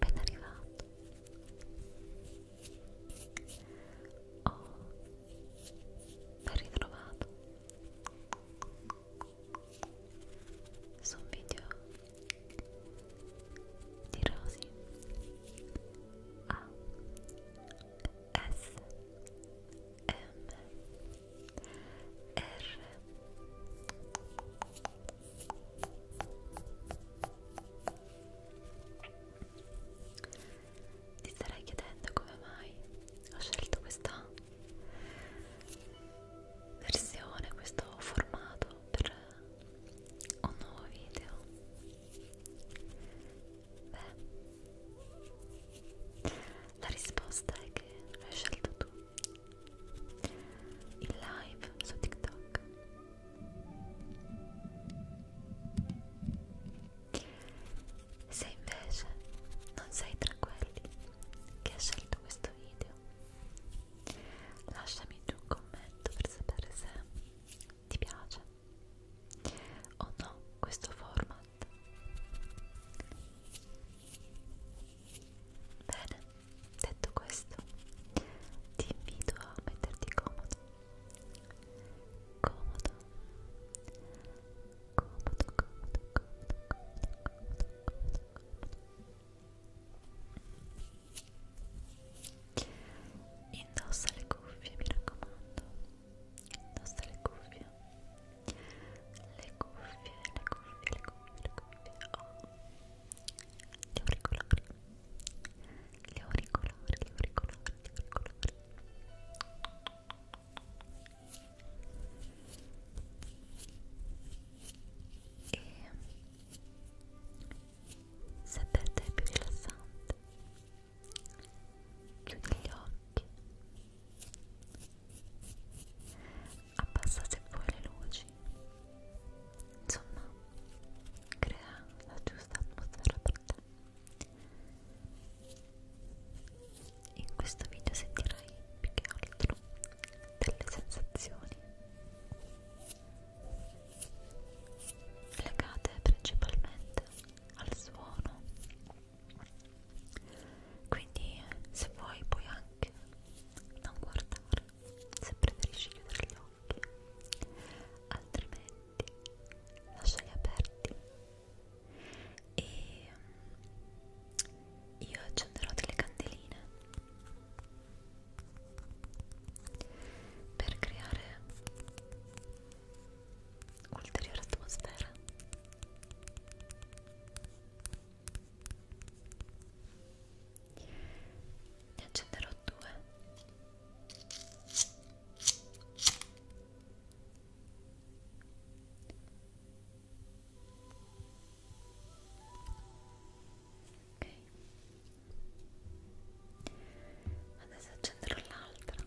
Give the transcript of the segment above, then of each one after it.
Ben arrivato. Oh, ben ritrovato. Su un video di Rosi A S M R ti starei chiedendo come mai ho scelto questa versione, questo formato per un nuovo video Beh, la risposta è che l'hai scelto tu. Il live su TikTok. Se invece non sei tra quelli che ha scelto questo video, lasciami giù un commento per sapere se ti piace? O oh no, questo format? Bene, detto questo, ti invito a metterti comodo. Comodo. Comodo, comodo, comodo, comodo, comodo, comodo. Indossa le cuffie, mi raccomando. Indossa le cuffie. Le cuffie, le cuffie, le cuffie, le cuffie. Oh. Gli auricolari. Gli auricolari, gli auricolari, gli auricolari. E se per te è più rilassante chiudi gli occhi abbassa se vuoi le luci insomma crea la giusta atmosfera per te in questo video sentirai più che altro delle sensazioni legate principalmente al suono quindi se vuoi puoi anche non guardare se preferisci chiudere gli occhi altrimenti lasciali aperti e io accenderò delle candeline per creare ulteriore atmosfera ne accenderò due ok adesso accenderò l'altra ok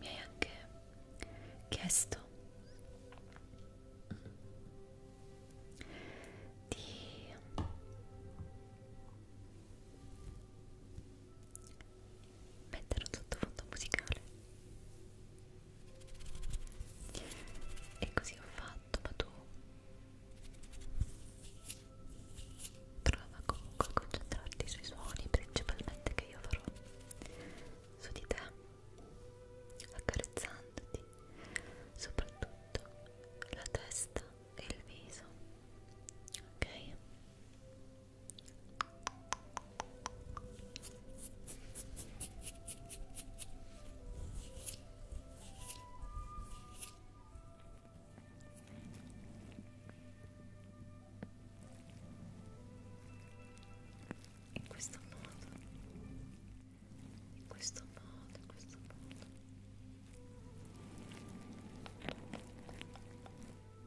Mi hai anche chiesto di mettere un sottofondo musicale e così ho fatto ma tu trova comunque a concentrarti sui suoni principalmente che io farò su di te accarezzandoti soprattutto la testa e il viso ok in questo modo in questo modo in questo modo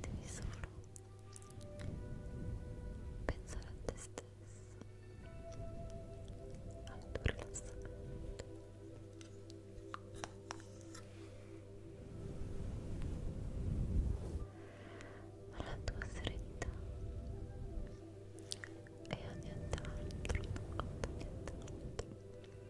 devi solo pensare a te stesso al tuo rilassamento alla tua serenità e a nient'altro a nient'altro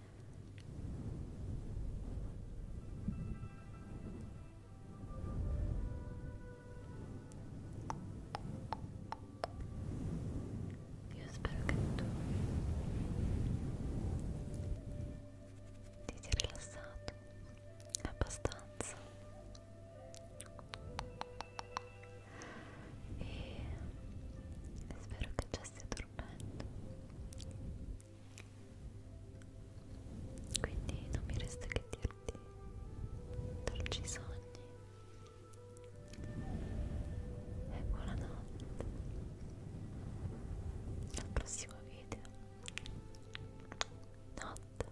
Io spero che tu ti sia rilassato abbastanza e spero che già sia dormendo quindi non mi resta che dirti dolci sogni e buonanotte al prossimo video notte